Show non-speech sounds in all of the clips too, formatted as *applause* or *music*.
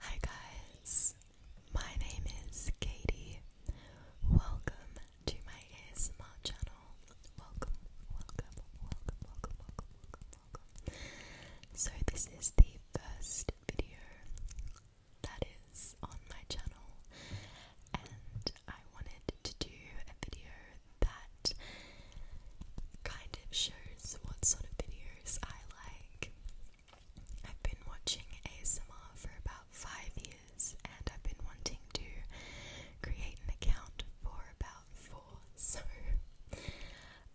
Hi guys, my name is Katie. Welcome to my ASMR channel. Welcome, welcome, welcome, welcome, welcome, welcome, welcome. So this is the first video that is on my channel, and I wanted to do a video that kind of shows what sort of videos I like. I've been watching ASMR for about five years and I've been wanting to create an account for about four, *laughs* so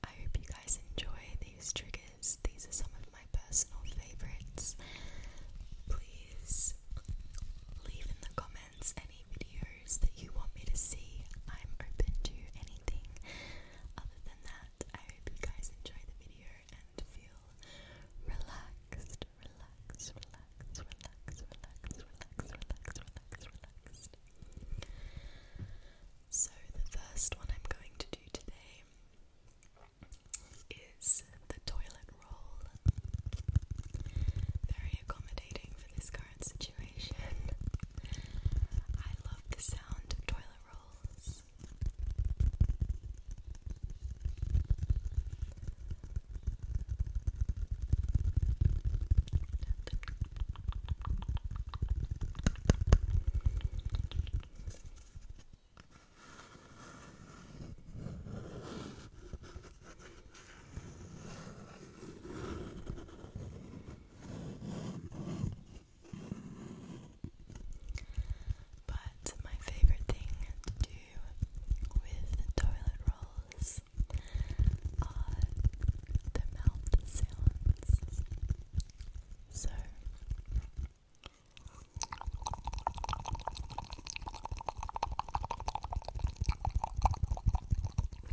I hope you guys enjoy these triggers. These are some of my personal favourites. Please leave in the comments any videos that you want me to see. I'm open to anything. Other than that, I hope you guys enjoy the video and feel relaxed, relaxed, relaxed, relaxed, relaxed, relaxed, relaxed, relaxed, relaxed. So the first one I'm going to do today is the toilet roll. Very accommodating for this current situation. I love the sound of toilet rolls. But my favorite thing to do with the toilet rolls are the mouth sounds. So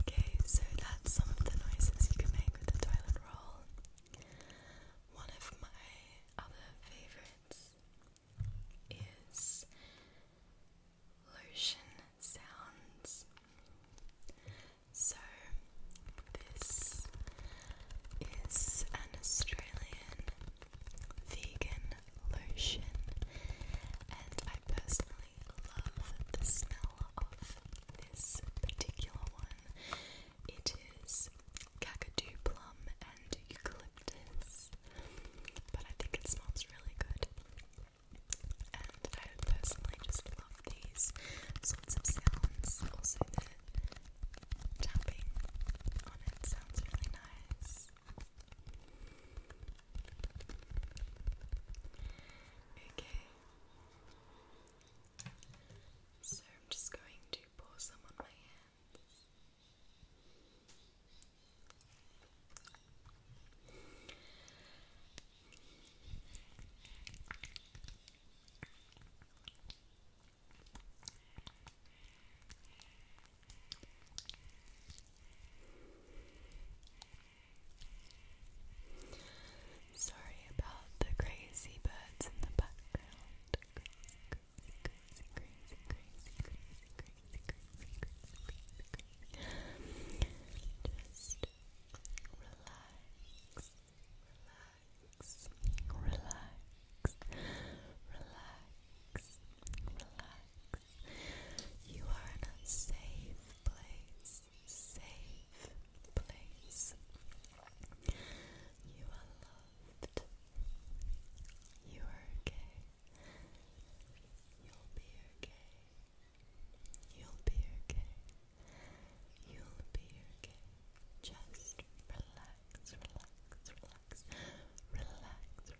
Okay, so that's some of the noises you can make with the toilet roll. One of my other favorites is lotion sounds. So, this is an Australian vegan lotion, and I personally love the smell of this particular one. It is Kakadu plum and eucalyptus, but I think it smells really good. And I personally just love these sorts of sounds. Also, the tapping on it sounds really nice. Okay. So I'm just going to pour some on my hands. Sorry about the crazy birds in the background. Just relax, relax, relax, relax, relax, you are in a safe place, safe place. You are loved. You are okay. You'll be okay. You'll be okay. You'll be okay. Just relax, relax, relax, relax,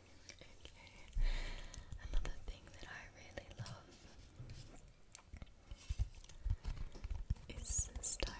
Okay. Another thing that I really love is styrofoam.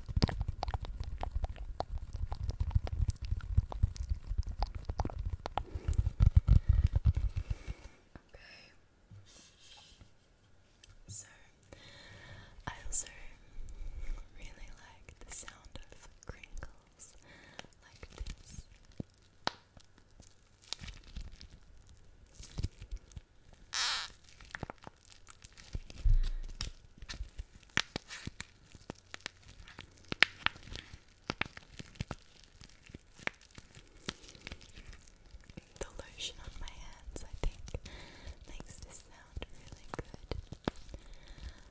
Okay. So, I also really like the sound of crinkles like this. The lotion on my hands, I think, makes this sound really good.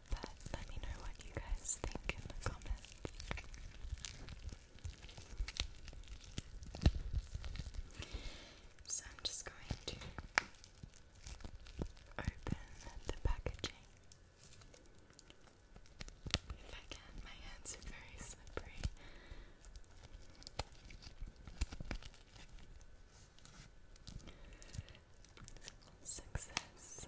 But let me know what you guys think in the comments. So I'm just going to open the packaging. If I can, my hands are very slippery. Success.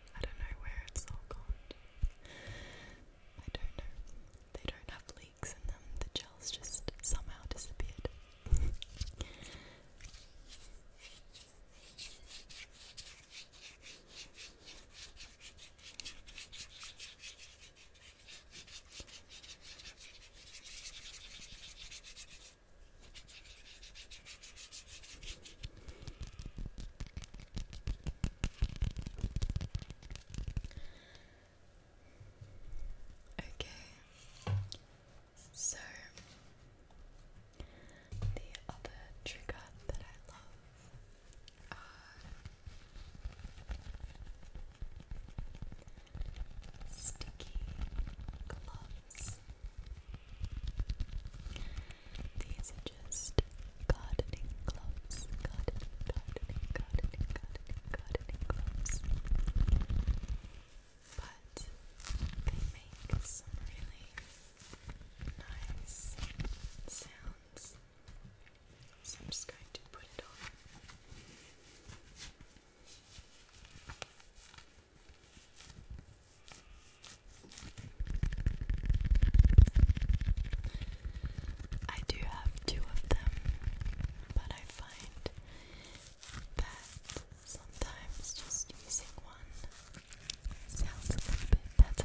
I don't know where it's all gone. I don't know. They don't have leaks in them. The gel's just somehow disappeared. Okay, so the other trigger that I love are sticky gloves. These are just gardening gloves. Gardening, gardening, gardening, gardening, gardening gloves. But they make some really nice sounds. So I'm just going to put it on. I do have two of them, but I find that sometimes just using one sounds a little bit better.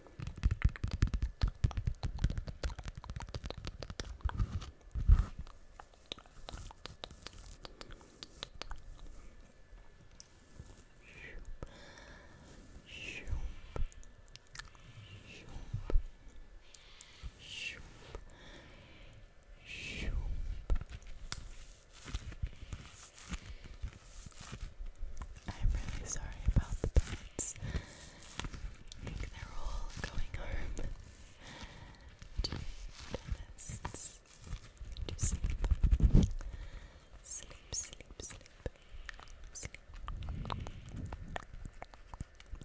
I'm really sorry about the pain friends. they're all going home to their to sleep. Sleep, sleep, sleep. Sleep.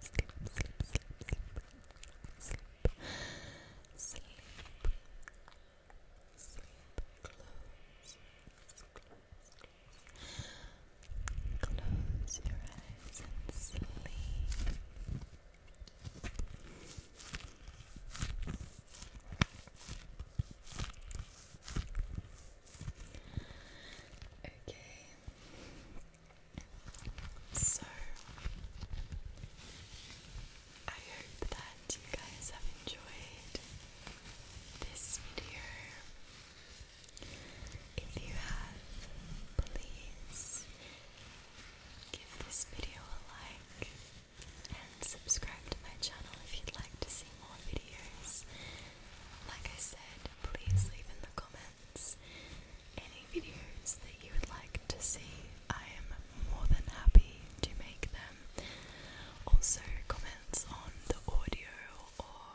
Sleep, sleep, sleep, sleep. Sleep. Sleep. Sleep. Close. Close. Close your eyes and sleep. Okay. So I hope that you guys have enjoyed this video. If you have, please give this video a like and subscribe to my channel if you'd like to see more videos. Like I said, please leave in the comments any videos that you would like to see. I am more than happy to make them. Also, comments on the audio or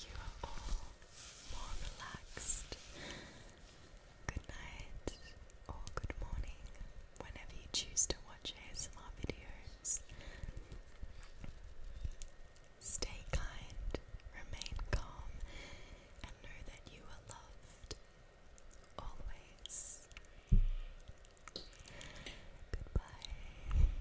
you are all more relaxed. Good night or good morning, whenever you choose to watch ASMR videos. Stay kind, remain calm, and know that you are loved always. Goodbye.